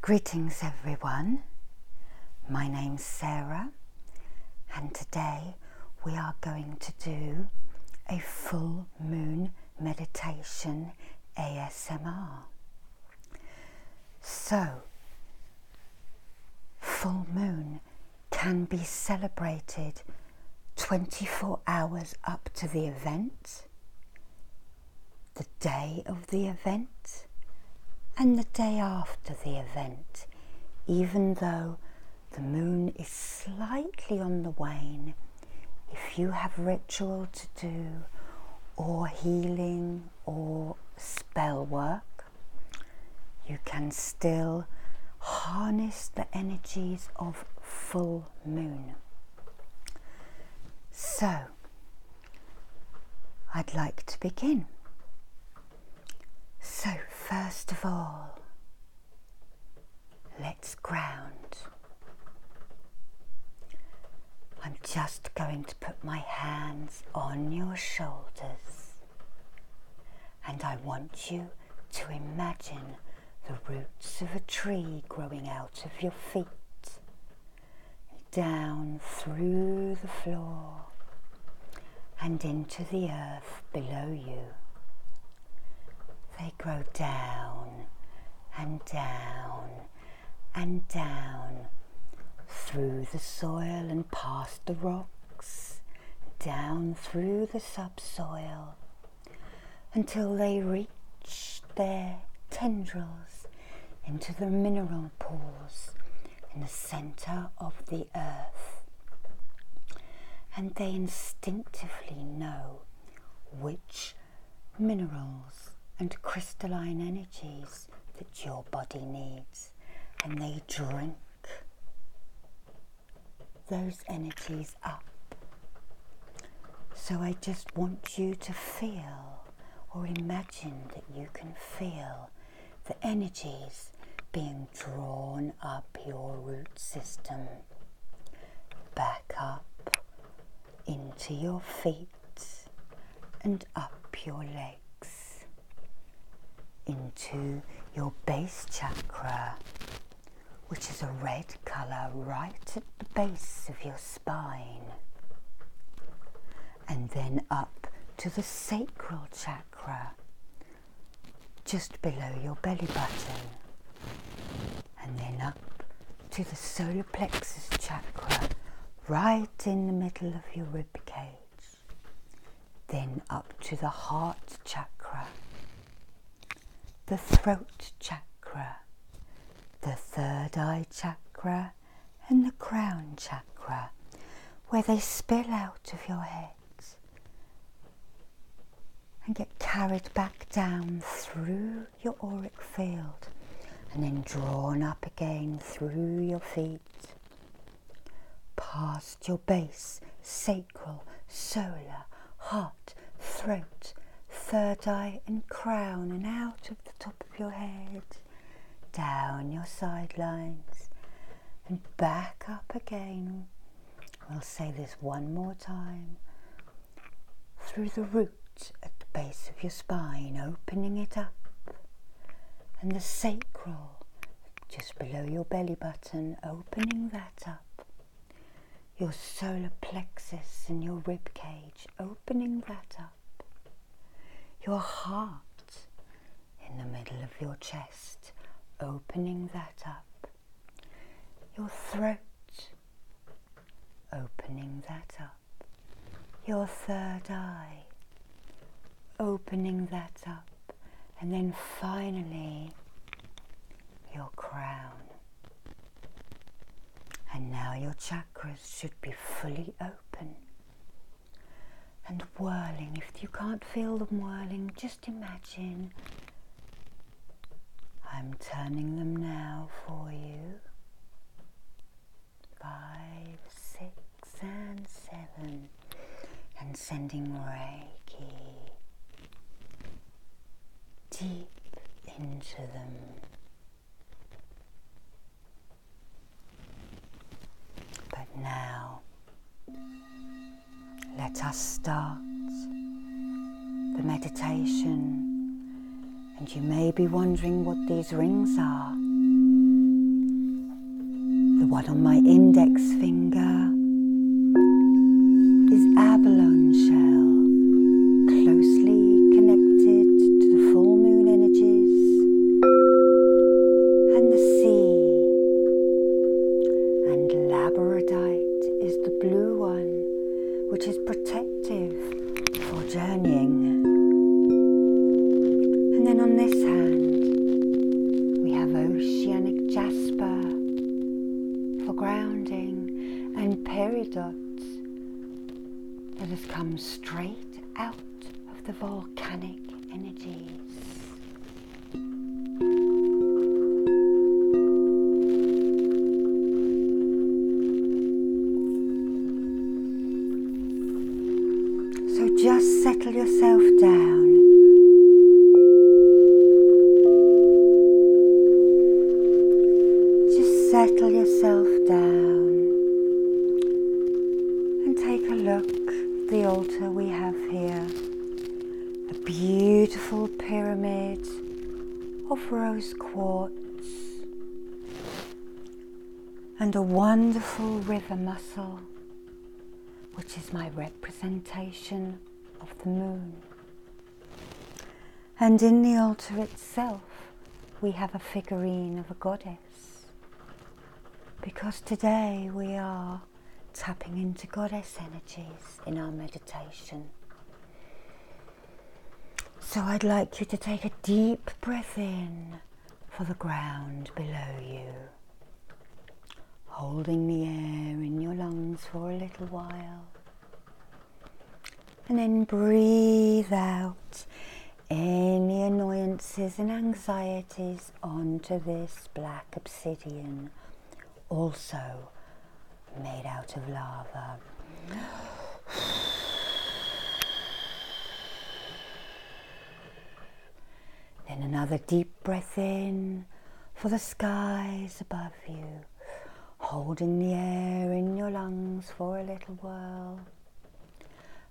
Greetings, everyone. My name's Sarah, and today we are going to do a full moon meditation ASMR. So, full moon can be celebrated 24 hours up to the event the day of the event and the day after the event, even though the moon is slightly on the wane, if you have ritual to do, or healing, or spell work, you can still harness the energies of full moon. So, I'd like to begin. So, first of all, let's ground. I'm just going to put my hands on your shoulders and I want you to imagine the roots of a tree growing out of your feet down through the floor and into the earth below you. They grow down and down and down through the soil and past the rocks, down through the subsoil until they reach their tendrils into the mineral pores in the center of the earth. And they instinctively know which minerals and crystalline energies that your body needs, and they drink those energies up. So I just want you to feel or imagine that you can feel the energies being drawn up your root system, back up into your feet and up your legs into your base chakra, which is a red colour right at the base of your spine. And then up to the sacral chakra, just below your belly button. And then up to the solar plexus chakra, right in the middle of your rib cage. Then up to the heart chakra, the throat chakra, the third eye chakra and the crown chakra, where they spill out of your head and get carried back down through your auric field and then drawn up again through your feet, past your base, sacral, solar, heart, throat, third eye and crown and out of the top of your head, down your sidelines and back up again. We'll say this one more time. Through the root at the base of your spine, opening it up, and the sacral just below your belly button, opening that up your solar plexus and your rib cage, opening that up, your heart in the middle of your chest, opening that up, your throat, opening that up, your third eye, opening that up, and then finally your crown. And now your chakras should be fully open and whirling. If you can't feel them whirling, just imagine I'm turning them now for you. Five, six, and seven, and sending Reiki deep into them. But now, let us start the meditation. And you may be wondering what these rings are. The one on my index finger is abalone shell, close connected to the full moon energies and the sea. And labradorite is the blue one, which is protective for journeying. And then on this hand, we have oceanic jasper for grounding and peridots that has come straight out of the volcanic energies. So just settle yourself down. Just settle yourself down and take a look at the altar we have here. A beautiful pyramid of rose quartz and a wonderful river mussel, which is my representation of the moon. And in the altar itself, we have a figurine of a goddess. Because today we are tapping into goddess energies in our meditation. So I'd like you to take a deep breath in for the ground below you, holding the air in your lungs for a little while and then breathe out any annoyances and anxieties onto this black obsidian, also made out of lava. Then another deep breath in for the skies above you holding the air in your lungs for a little while,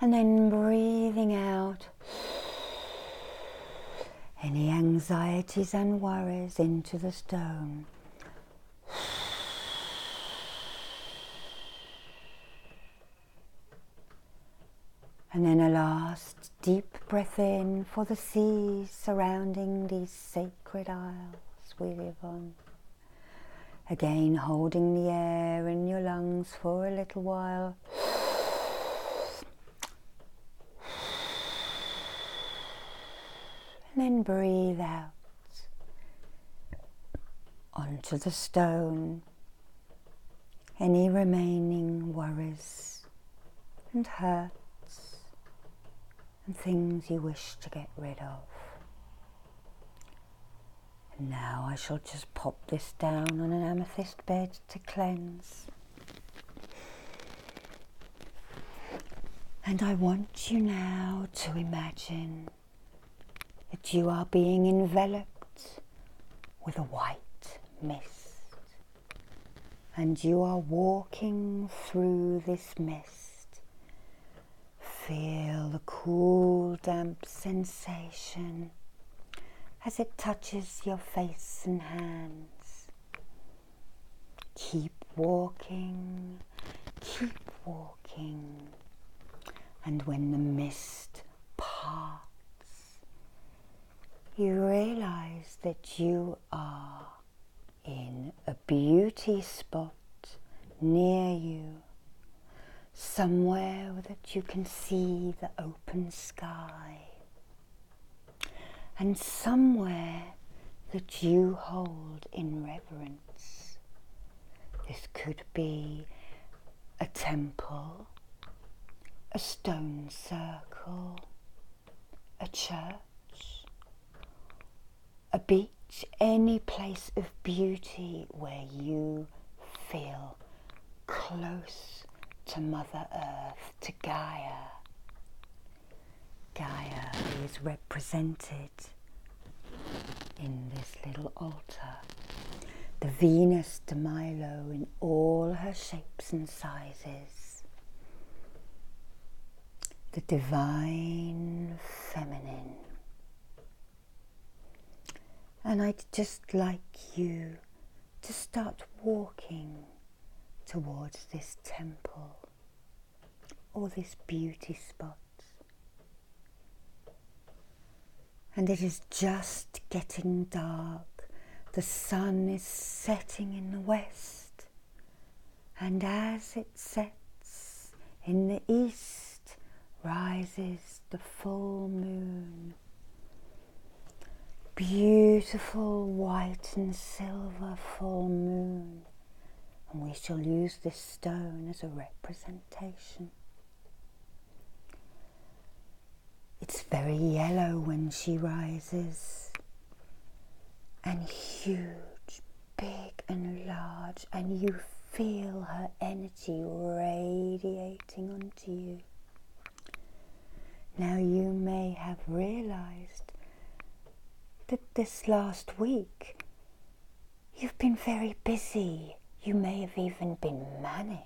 and then breathing out any anxieties and worries into the stone. And then a last deep breath in for the sea surrounding these sacred isles we live on. Again, holding the air in your lungs for a little while. And then breathe out onto the stone any remaining worries and hurts and things you wish to get rid of. now I shall just pop this down on an amethyst bed to cleanse. And I want you now to imagine that you are being enveloped with a white mist. And you are walking through this mist Feel the cool, damp sensation as it touches your face and hands. Keep walking, keep walking, and when the mist parts, you realize that you are in a beauty spot near you, somewhere that you can see the open sky, and somewhere that you hold in reverence. This could be a temple, a stone circle, a church a beach, any place of beauty where you feel close to Mother Earth, to Gaia. Gaia is represented in this little altar. The Venus de Milo in all her shapes and sizes the Divine Feminine. And I'd just like you to start walking towards this temple or this beauty spot. And it is just getting dark. The sun is setting in the west and as it sets in the east rises the full moon. Beautiful white and silver full moon, and we shall use this stone as a representation. It's very yellow when she rises, and huge big and large, and you feel her energy radiating onto you. Now, you may have realized that this last week you've been very busy. You may have even been manic.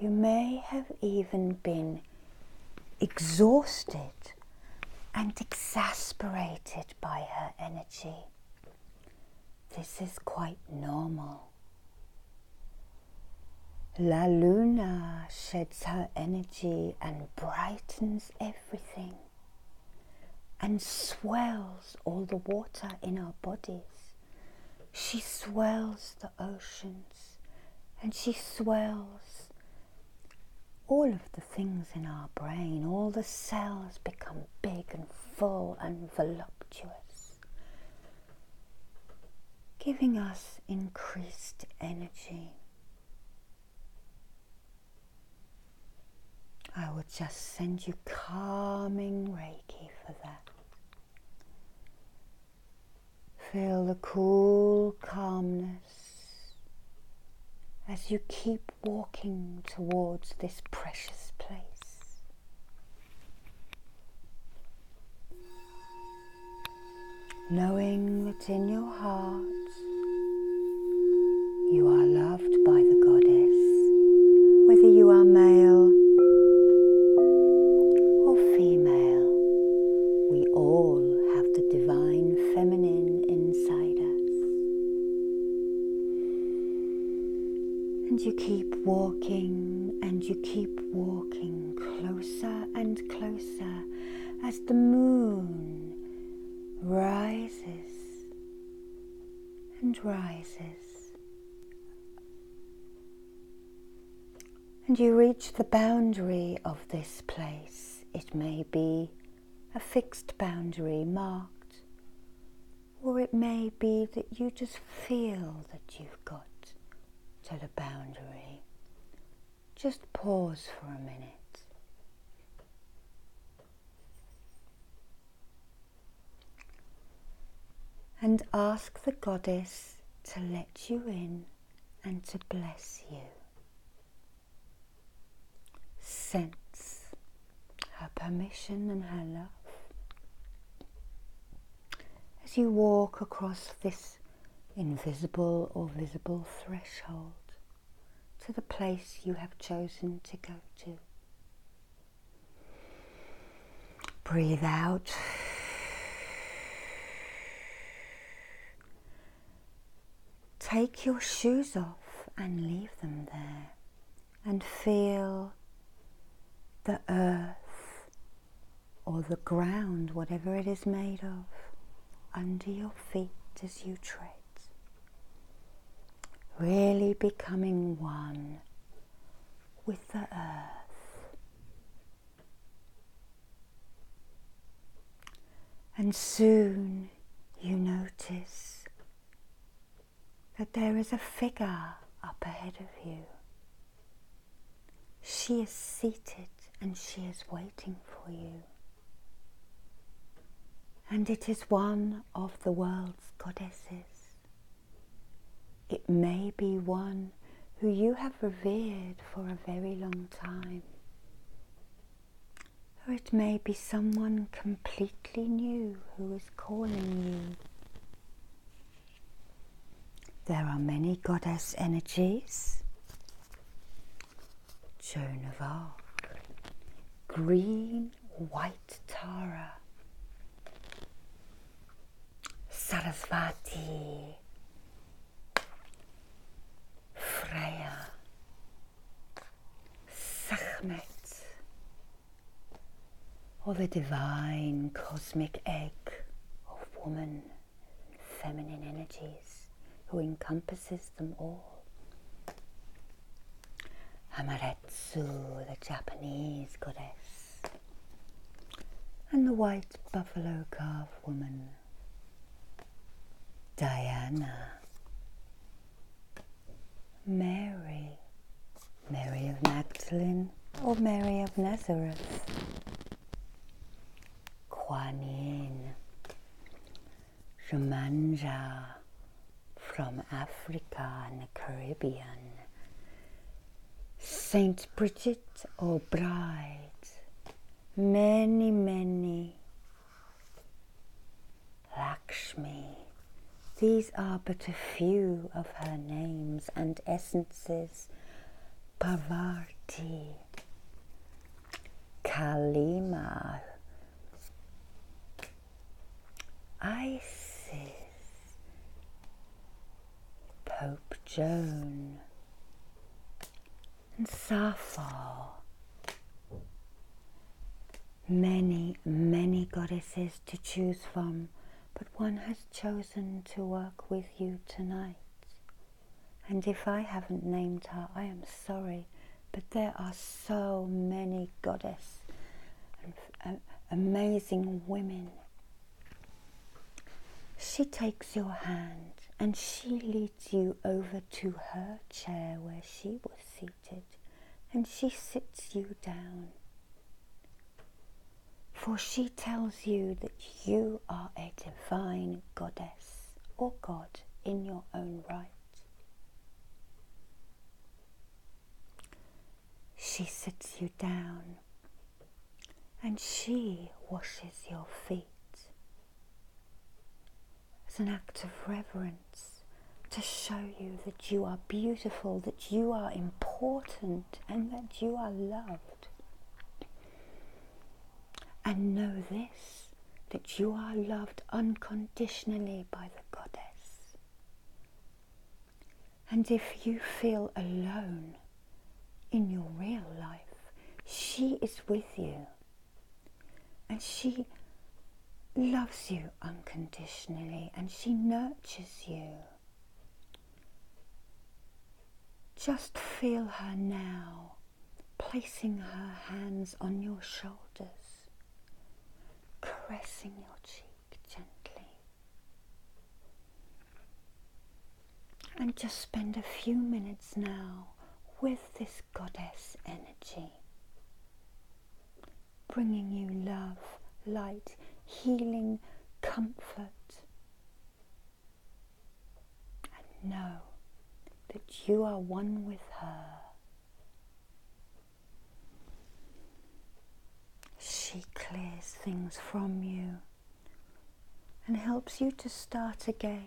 You may have even been exhausted and exasperated by her energy. This is quite normal. La Luna sheds her energy and brightens everything and swells all the water in our bodies. She swells the oceans and she swells all of the things in our brain, all the cells become big and full and voluptuous, giving us increased energy. I will just send you calming Reiki for that. Feel the cool calmness as you keep walking towards this precious place. Knowing that in your heart you are loved by the goddess, whether you are male or female, we all have the divine feminine inside. And you keep walking and you keep walking closer and closer as the moon rises and rises. And you reach the boundary of this place. It may be a fixed boundary marked, or it may be that you just feel that you've got to the boundary. Just pause for a minute. And ask the goddess to let you in and to bless you. Sense her permission and her love. As you walk across this invisible or visible threshold to the place you have chosen to go to. Breathe out Take your shoes off and leave them there and feel the earth or the ground, whatever it is made of, under your feet as you tread. Really becoming one with the earth. And soon you notice that there is a figure up ahead of you. She is seated and she is waiting for you. And it is one of the world's goddesses. It may be one who you have revered for a very long time. Or it may be someone completely new who is calling you. There are many goddess energies Joan of Arc, green white Tara, Sarasvati, Freya. Sachmet. Or the divine cosmic egg of woman and feminine energies who encompasses them all. Hamaretsu, the Japanese goddess, and the white buffalo calf woman Diana, Mary, Mary of Magdalene or Mary of Nazareth, Kuan Yin, from Africa and the Caribbean, Saint Bridget O'Bride, many, many. Lakshmi. These are but a few of her names and essences. Parvati, Kalima, Isis, Pope Joan, and Sappho. Many, many goddesses to choose from, but one has chosen to work with you tonight. And if I haven't named her, I am sorry, but there are so many goddesses and uh, amazing women. She takes your hand and she leads you over to her chair where she was seated, and she sits you down. For she tells you that you are a divine goddess or god in your own right. She sits you down and she washes your feet as an act of reverence to show you that you are beautiful, that you are important, and that you are loved. And know this that you are loved unconditionally by the Goddess. And if you feel alone in your real life, she is with you and she loves you unconditionally and she nurtures you. Just feel her now, placing her hands on your shoulders, caressing your cheek gently. And just spend a few minutes now with this goddess energy, bringing you love, light, healing, comfort. And know that you are one with her. She clears things from you and helps you to start again.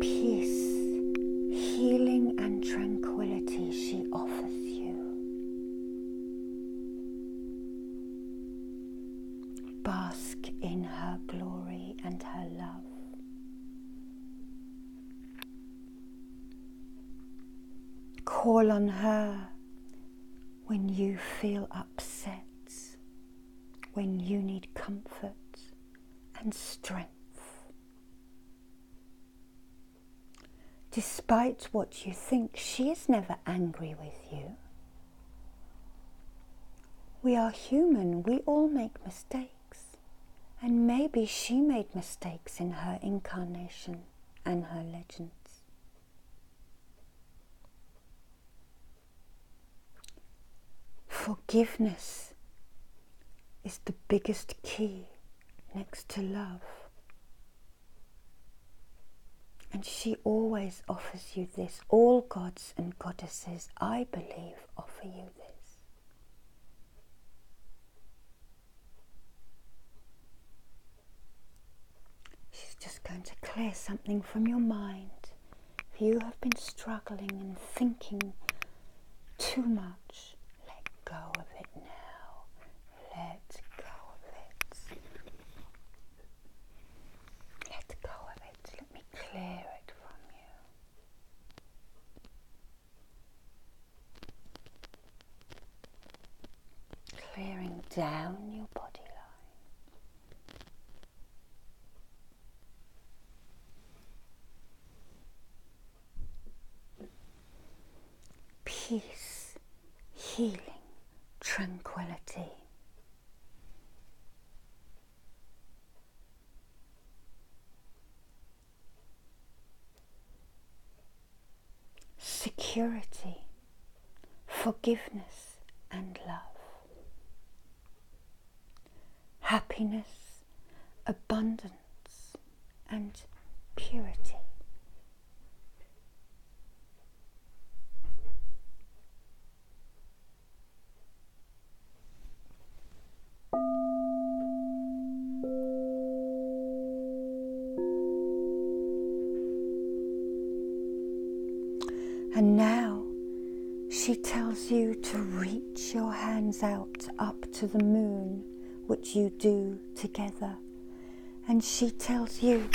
peace, healing, and tranquility she offers you. Bask in her glory and her love. Call on her when you feel upset when you need comfort and strength. Despite what you think, she is never angry with you. We are human, we all make mistakes. And maybe she made mistakes in her incarnation and her legends. Forgiveness is the biggest key next to love. And she always offers you this. All gods and goddesses, I believe, offer you this. She's just going to clear something from your mind you have been struggling and thinking too much, let go of it now. Let go of it. Let go of it. Let me clear it from you. Clearing down your body line, Peace, healing, tranquility. Security, forgiveness, and love happiness, abundance, and purity. And now she tells you to reach your hands out up to the moon, which you do together. And she tells you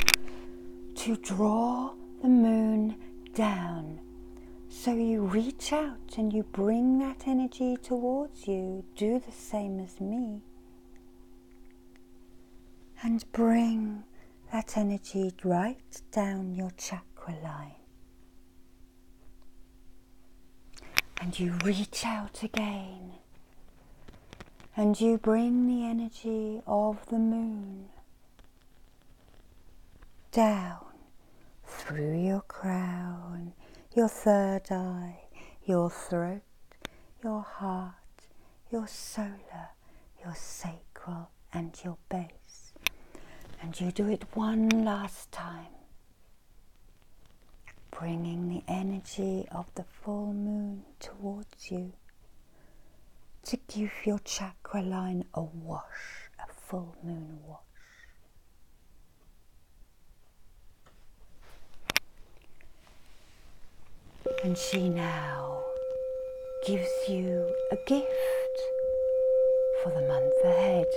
to draw the moon down. So you reach out and you bring that energy towards you. Do the same as me. And bring that energy right down your chakra line. And you reach out again and you bring the energy of the moon down through your crown, your third eye, your throat, your heart, your solar, your sacral and your base, And you do it one last time, bringing the energy of the full moon towards you to give your chakra line a wash, a full moon wash. And she now gives you a gift for the month ahead.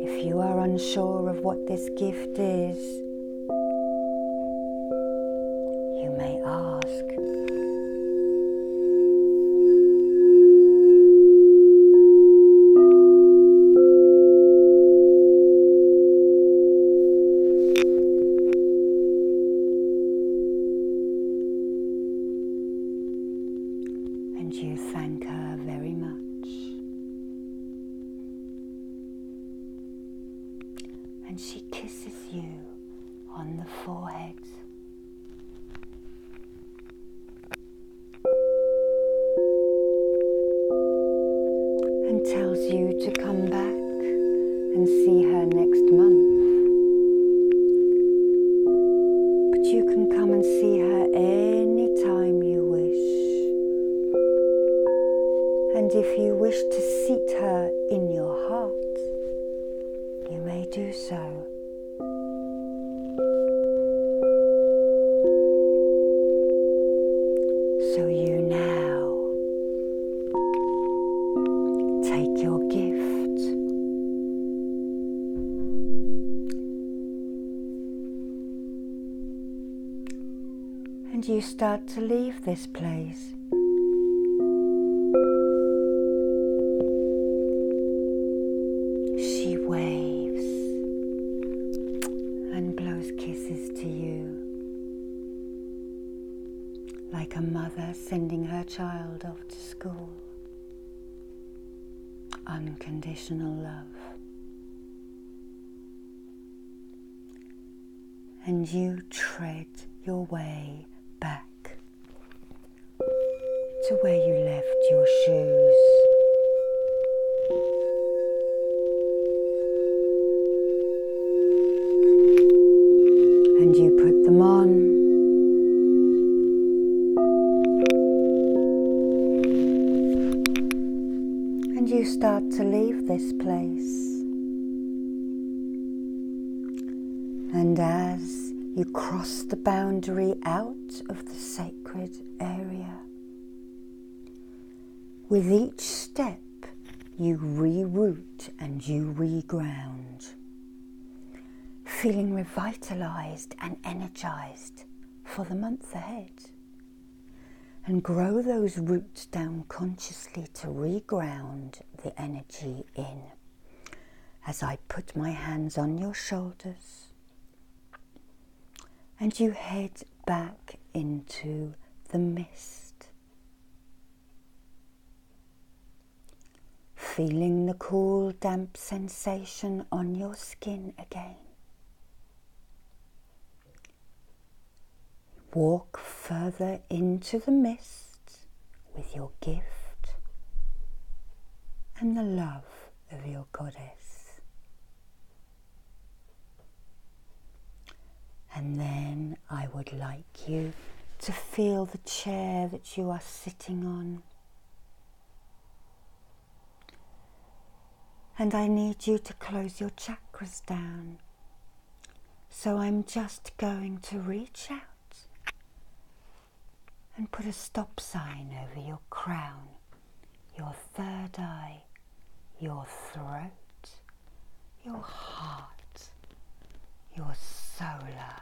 If you are unsure of what this gift is, you may ask. And you thank her very much. And she kisses you on the forehead. and tells you to come back and see her next month. But you can come and see her any time you wish. And if you wish to seat her in your heart, you may do so. So you now Take your gift. And you start to leave this place. She waves and blows kisses to you like a mother sending her child off to school. Unconditional love. And you tread your way back to where you left your shoes. And you put them on. And you start to leave this place. And as you cross the boundary out of the sacred area, with each step, you re-root and you re-ground, Feeling revitalized and energized for the month ahead. And grow those roots down consciously to re-ground the energy in. As I put my hands on your shoulders and you head back into the mist. Feeling the cool, damp sensation on your skin again. Walk further into the mist with your gift and the love of your goddess. And then I would like you to feel the chair that you are sitting on. And I need you to close your chakras down. So I'm just going to reach out and put a stop sign over your crown, your third eye, your throat, your heart, your solar,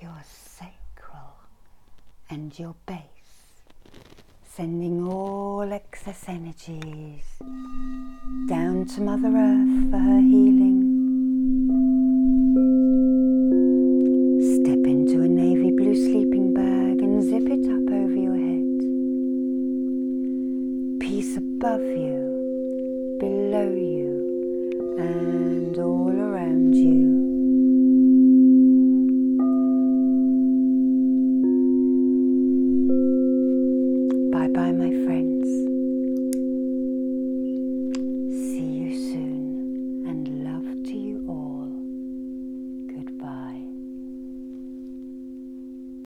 your sacral, and your base, sending all excess energies down to Mother Earth for her healing. Step into a navy blue sleeping bag and zip it up over your head above you, below you, and all around you. Bye bye, my friends. See you soon, and love to you all. Goodbye.